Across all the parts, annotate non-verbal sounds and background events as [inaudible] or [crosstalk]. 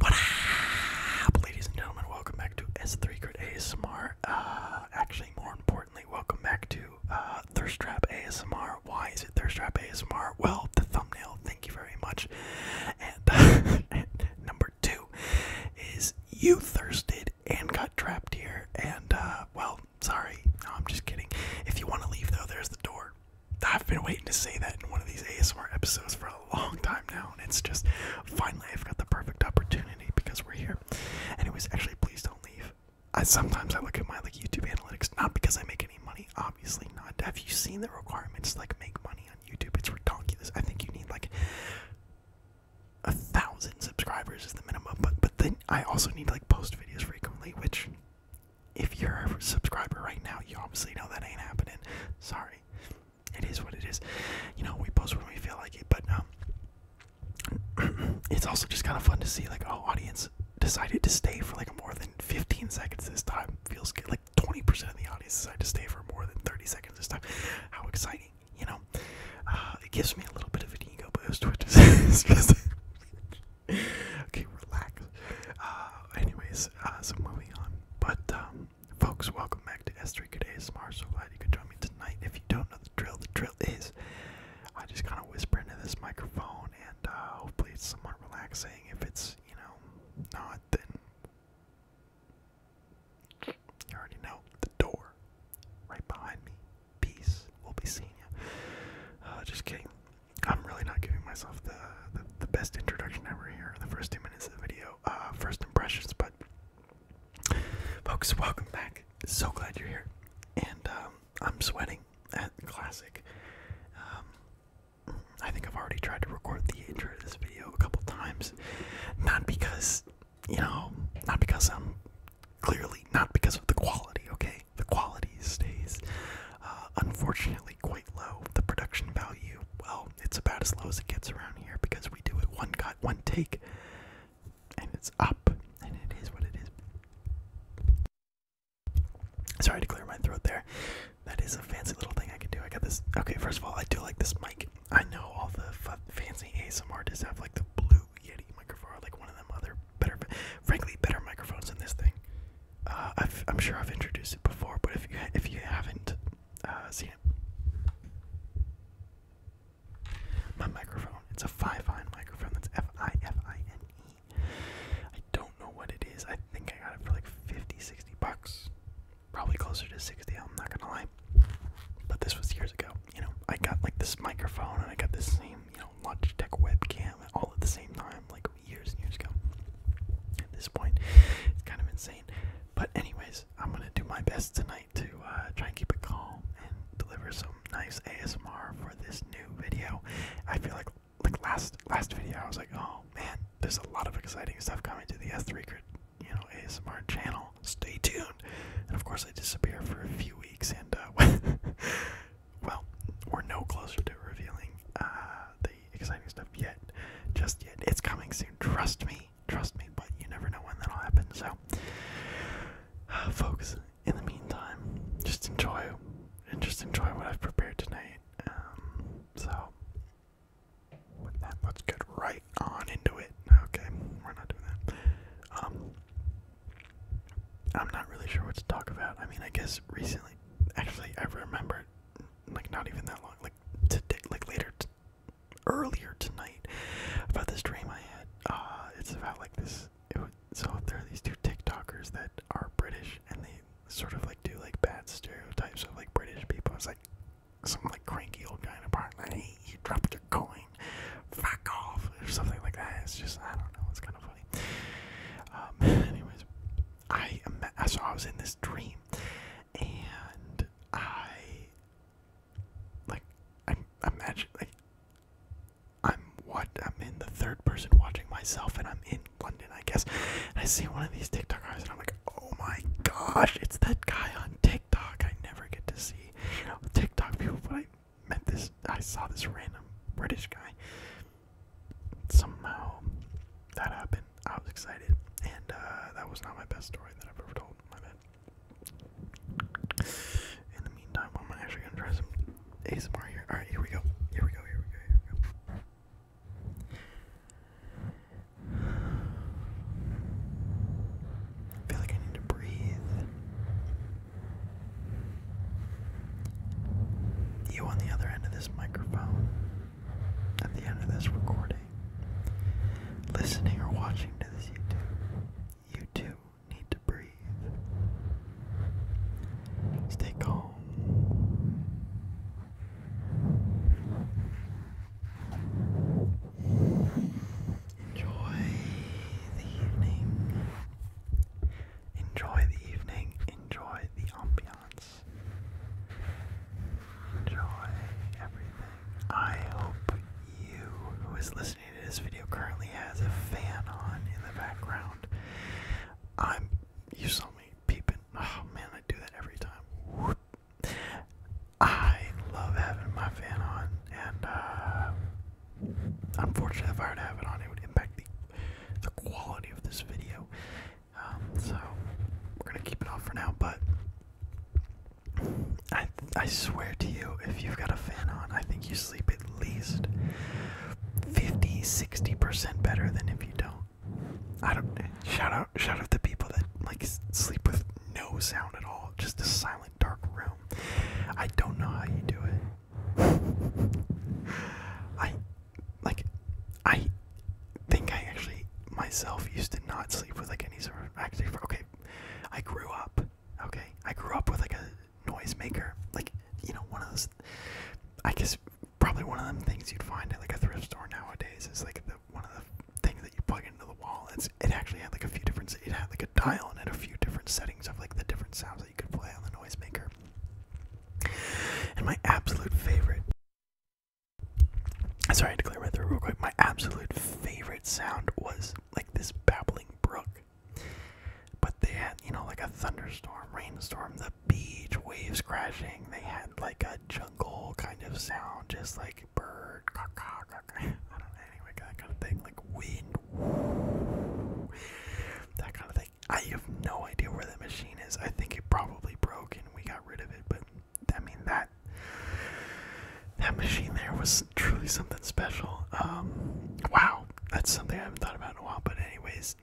What up, ladies and gentlemen? Welcome back to S3 Grid ASMR. Uh, actually, more importantly, welcome back to uh, Thirst Trap ASMR. Why is it Thirst Trap ASMR? Well, the thumbnail. Thank you very much. [laughs] And, number two is you thirsted and got trapped here. And uh, well, sorry. I'm just kidding. If you want to leave, though, there's the door. I've been waiting to say that in one of these ASMR episodes for a long time now, and it's just finally I've got the perfect opportunity because we're here. Anyways, actually, please don't leave. I sometimes I look at my like YouTube analytics, not because I make any money, obviously not. Have you seen the requirements like make money on YouTube? It's ridiculous. I think you need like a thousand subscribers is the minimum, but but then I also need to like post videos frequently, which if you're a subscriber right now, you obviously know that ain't happening. Sorry. It is what it is. You know, we post when we feel like it, but um, [clears throat] it's also just kind of fun to see like oh, audience decided to stay for like more than 15 seconds this time. Feels good. Like 20% of the audience decided to stay for more than 30 seconds this time. How exciting, you know? Uh, it gives me a little bit of an ego boost, which [laughs] [laughs] okay. Relax. Uh, anyways, uh, so moving on. But, um, folks, welcome back to S3 Good ASMR. So glad you could join me tonight. If you don't know the drill, the drill is I just kind of whisper into this microphone, and uh, hopefully it's somewhat relaxing. If it's, you know, not, then you already know the door right behind me. Peace. We'll be seeing you. Uh, just kidding. I'm really not giving myself the, the, best introduction ever here, the first two minutes of the video, uh, first impressions, but folks, welcome back. So glad you're here. And um, I'm sweating at Classic. Um, I think I've already tried to record the intro to this video a couple times. Not because, you know, not because I'm clearly, not because of the quality, okay? The quality stays. Uh, unfortunately, qu low. The production value, well, it's about as low as it gets around here because we do it one cut, one take, and it's up, and it is what it is. Sorry to clear my throat there. That is a fancy little thing I can do. I got this. Okay, first of all, I do like this mic. I know all the fancy ASM artists have like the blue Yeti microphone, like one of them other better, frankly, better microphones than this thing. Uh, i am sure I've introduced it before, but if you if you haven't uh, seen it, my microphone—it's a Fifine microphone. That's F-I-F-I-N-E. I don't know what it is. I think I got it for like 50, bucks, probably closer to 60. I'm not gonna lie. But this was years ago. You know, I got like this microphone and I got this same, you know, Logitech webcam all at the same time. Like, years and years ago. At this point, it's kind of insane. But anyways, I'm gonna do my best tonight to uh, try and keep it calm and deliver some nice ASMR for this new video. I feel like like last last video I was like, oh man, there's a lot of exciting stuff coming to the S3 you know, ASMR channel. Stay tuned. And of course, I disappear for a few weeks, and uh, [laughs] well, we're no closer to revealing uh, the exciting stuff yet, just yet. It's coming soon, trust me, trust me, but you never know when that'll happen. So, [sighs] folks, in the meantime, just enjoy and just enjoy what I've prepared tonight. Um, so, with that, let's get right on into it. Okay, we're not doing that. Um, I'm not really sure what to talk about. I mean, I guess recently, actually, I remembered like not even that long, like today, like later, earlier tonight, about this dream I had. Uh, it's about like this. so there are these two TikTokers that are British, and they sort of like do like bad stereotypes of like British people. It's like some like cranky old guy in a park, like hey, you dropped your coin, fuck off, or something like that. It's just I don't know. It's kind of funny. Um, [laughs] anyways, I saw I was in this dream, and I like I imagine like I'm what I'm in the third person watching myself, and I'm in London, I guess. And I see one of these TikTok guys, and I'm like, oh my gosh, it's that guy on TikTok. I never get to see you know, TikTok people, but I met this. I saw this random British guy somehow that happened. I was excited, and uh, that was not my best story that I've ever told. In the meantime, I'm actually gonna try some ASMR here. All right, here we go. Here we go. Here we go. Here we go. I feel like I need to breathe. You on the other end of this microphone at the end of this recording, listening or watching to this YouTube, you too need to breathe. Stay calm. Enjoy the evening. Enjoy the evening. Enjoy the ambiance silence. Enjoy everything. I hope you who is listening to this video currently has a fan on in the background. I'm you saw me peeping. Oh man, I do that every time. I love having my fan on, and uh, unfortunately, if I were to have it on, it would impact the the quality of this video. Um, so we're gonna keep it off for now, but I I swear to you, if you've got a fan on, I think you sleep at least 50, 60 percent better than if you don't. I don't shout out shout out to people that like sleep with no sound at all, just a silent dark room. I don't know how you do it. I like I think I actually myself used to not sleep with like any sort of active. Okay, I grew up. Okay, I grew up with like a noisemaker, like you know one of those. I guess probably one of them things you'd find at like a thrift store nowadays is like the one of the things that you plug into the wall. It's it actually had like a few different. It had like a dial and had a few different settings of like the different sounds that you could play on the noisemaker. And my absolute favorite. Sorry, I had to clear my throat real quick. My absolute favorite sound was like this babbling brook. But they had, you know, like a thunderstorm, rainstorm, the beach, waves crashing. They had like a jungle kind of sound, just like bird, caw, caw, caw, [laughs] I don't know, anyway, that kind of thing, like wind, that kind of thing. I have no idea where the machine is. I think it probably broke and we got rid of it, but I mean that that machine there was truly something special. Um, wow, that's something I haven't thought about in a while. But anyways,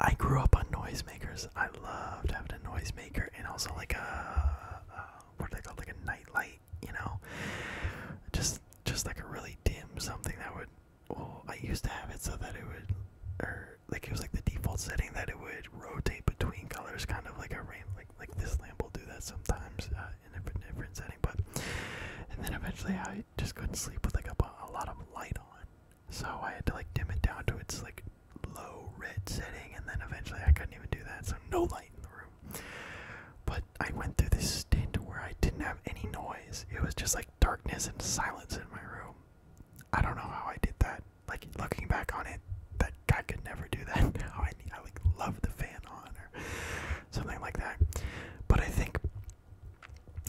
I grew up on noisemakers. I loved having a noisemaker and also like a what do they call like a nightlight, you know, just just like a really dim something that would well, I used to have it so that it would, or like it was like the default setting that it would rotate between colors, kind of like a rain, like like this lamp will do that sometimes uh, in a different, different setting. But and then eventually I just couldn't sleep with like a, lot of light on, so I had to like dim it down to its like low red setting, and then eventually I couldn't even do that, so no light in the room. But I went through this stint where I didn't have any noise. It was just like darkness and silence in my room. I don't know how I did that. Like looking back on it, that I could never do that. [laughs] Now I I like love the fan on or something like that. But I think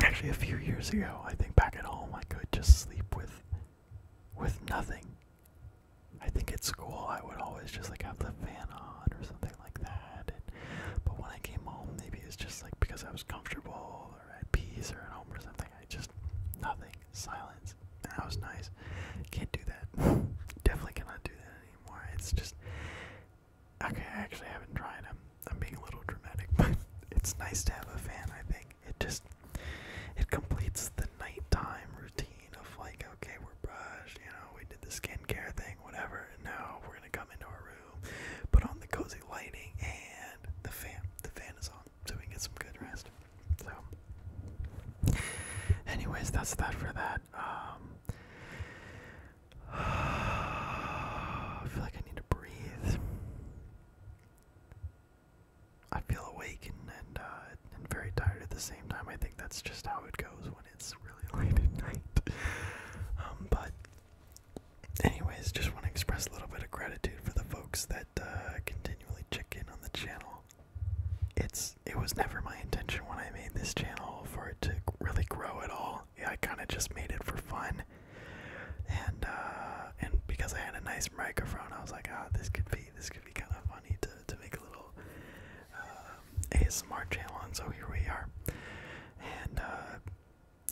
actually a few years ago, I think back at home I could just sleep with with nothing. I think at school I would always just like have the fan on or something like that. And, but when I came home, maybe it's just like because I was comfortable or at peace or at home or something. I just nothing. Silence. that was nice. Can't do that. [laughs] Definitely cannot do that anymore. It's just okay. I actually haven't tried. i I'm being a little dramatic, [laughs] but it's nice to have a fan. I think it just it completes the nighttime routine of like okay we're brushed, you know we did the skincare thing, whatever. And now we're gonna come into our room put on the cozy lighting, and the fan. The fan is on, so we get some good rest. So, anyways, that's that for that. Um, [sighs] I feel like I need to breathe. I feel awake and uh, and, very tired at the same time. I think that's just how it goes when it's really [laughs] late at night. Um, but anyways, just want to express a little bit of gratitude for the folks that uh, continually check in on the channel. It's it was never my intention when I made this channel for it to really grow at all. Yeah, I kind of just made it for fun, and uh, and because I had a nice microphone, I was like, ah, this could be this could be kind of funny to to make a little uh, ASMR channel, so here we are. And uh,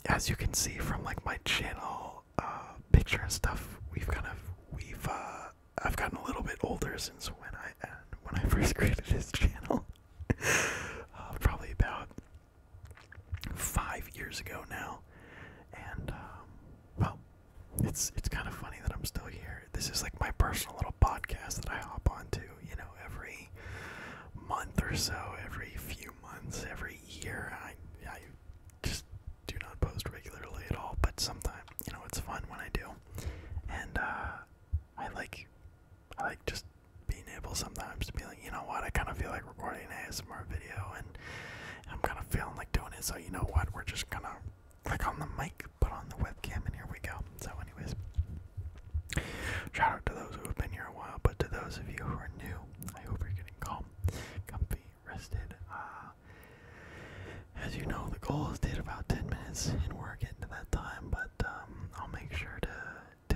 as you can see from like my channel uh, picture and stuff, we've kind of we've uh, I've gotten a little bit older since when I uh, when I [laughs] first created this channel, [laughs] probably about five years ago now, and um, well, it's it's kind of funny that I'm still here. This is like my personal little podcast that I hop onto, you know, every month or so, every few months, every year. I I just do not post regularly at all, but sometimes you know it's fun when I do, and uh, I like I like just being able sometimes to be like, you know what, I kind of feel like recording an ASMR video, and I'm kind of feeling like doing it. So you know what, we're just gonna click on the mic, put on the webcam, and here we go. So anyways, Shout out to those who have been here a while, but to those of you who are new, I hope you're getting calm, comfy, rested. Uh, as you know, the goal is to hit about 10 minutes, and we're getting to that time, but um, I'll make sure to,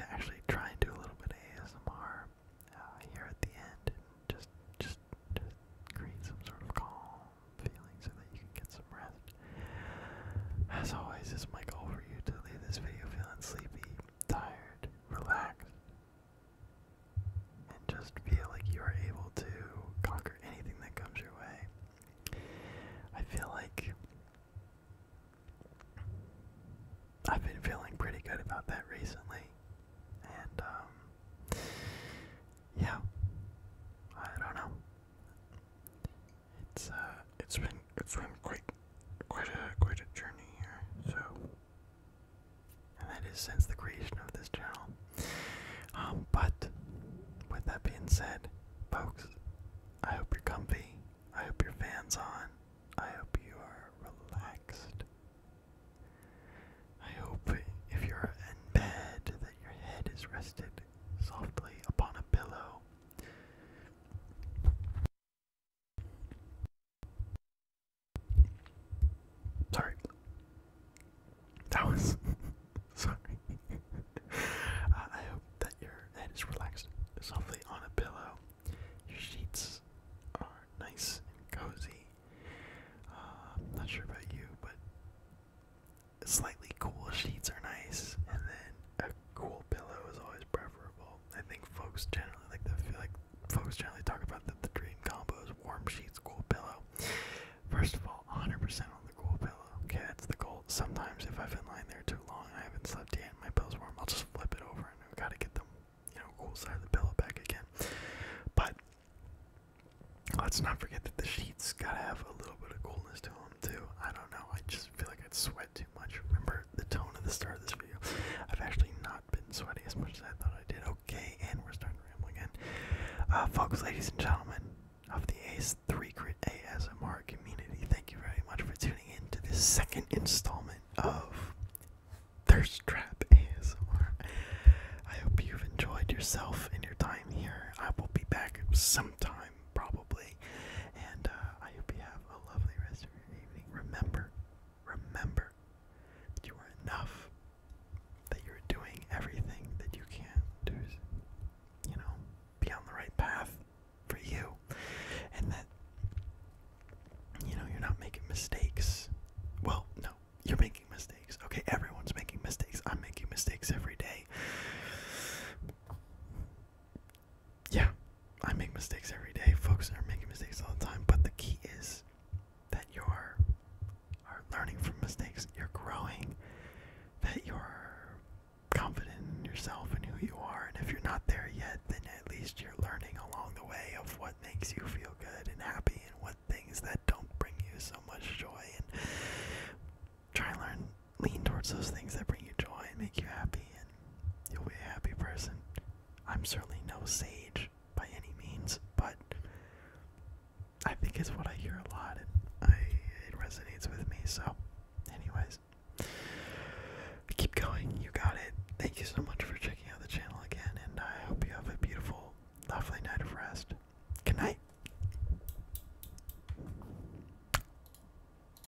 to actually try and do a little bit of ASMR uh, here at the end, just, just, just create some sort of calm feeling so that you can get some rest. As always, it's my goal for you to leave this video feeling sleepy, tired, relaxed, and just feel like you are able to conquer anything that comes your way. I feel like I've been feeling pretty good about that recently, and um, yeah, I don't know. It's uh, it's been it's been quite quite a quite a journey here. So, and that is since the creation of this channel. Um, but with that being said, folks, I hope you're comfy. I hope your fans on. I hope you are relaxed. I hope if you're in bed that your head is rested softly upon a pillow. Sorry. That was. [laughs] Sorry. Uh, I hope that your head is relaxed, softly on a pillow. Your sheets are nice and cozy. Uh, I'm not sure about you, but slightly cool sheets are nice, and then cool pillow is always preferable. I think folks generally like to feel like folks generally talk about that the dream combos warm sheets, cool pillow. First of all, 100% on the cool pillow. Okay, that's the goal. Sometimes if I've been lying there too long, I haven't slept yet, and my pillow's warm, I'll just flip it over and i got to get the you know cool side of the pillow back again. But let's not forget that the sheets gotta have a little bit of coolness to them too. I don't know. I just feel like I'd sweat too much. Remember the tone at the start of this video. I've actually not been sweaty as much as I thought I did. Okay, and we're starting to ramble again. Uh, folks, ladies and gentlemen of the Ace 3 Grid ASMR community, thank you very much for tuning in to this second installment of Thirst Trap ASMR. I hope you've enjoyed yourself and your time here. I will be back sometime probably. And uh, I hope you have a lovely rest of your evening. Remember, remember that you are enough, that you're doing everything that you can to, you know, be on the right path for you, and that, you know, you're not making mistakes. Well, no, you're making mistakes. Okay, everyone's making mistakes. I'm making mistakes every day yeah, I make mistakes every day. Folks are making mistakes all the time. But the key is that you're are learning from mistakes. You're growing. That you're confident in yourself and who you are. And if you're not there yet, then at least you're learning along the way of what makes you feel good and happy and what things that don't bring you so much joy. And try and learn lean towards those things that bring you joy and make you happy, and you'll be a happy person. I'm certainly no sage by any means, but I think it's what I hear a lot, and I, it resonates with me. So, anyways, keep going. You got it. Thank you so much for checking out the channel again, and I hope you have a beautiful, lovely night of rest. Good night.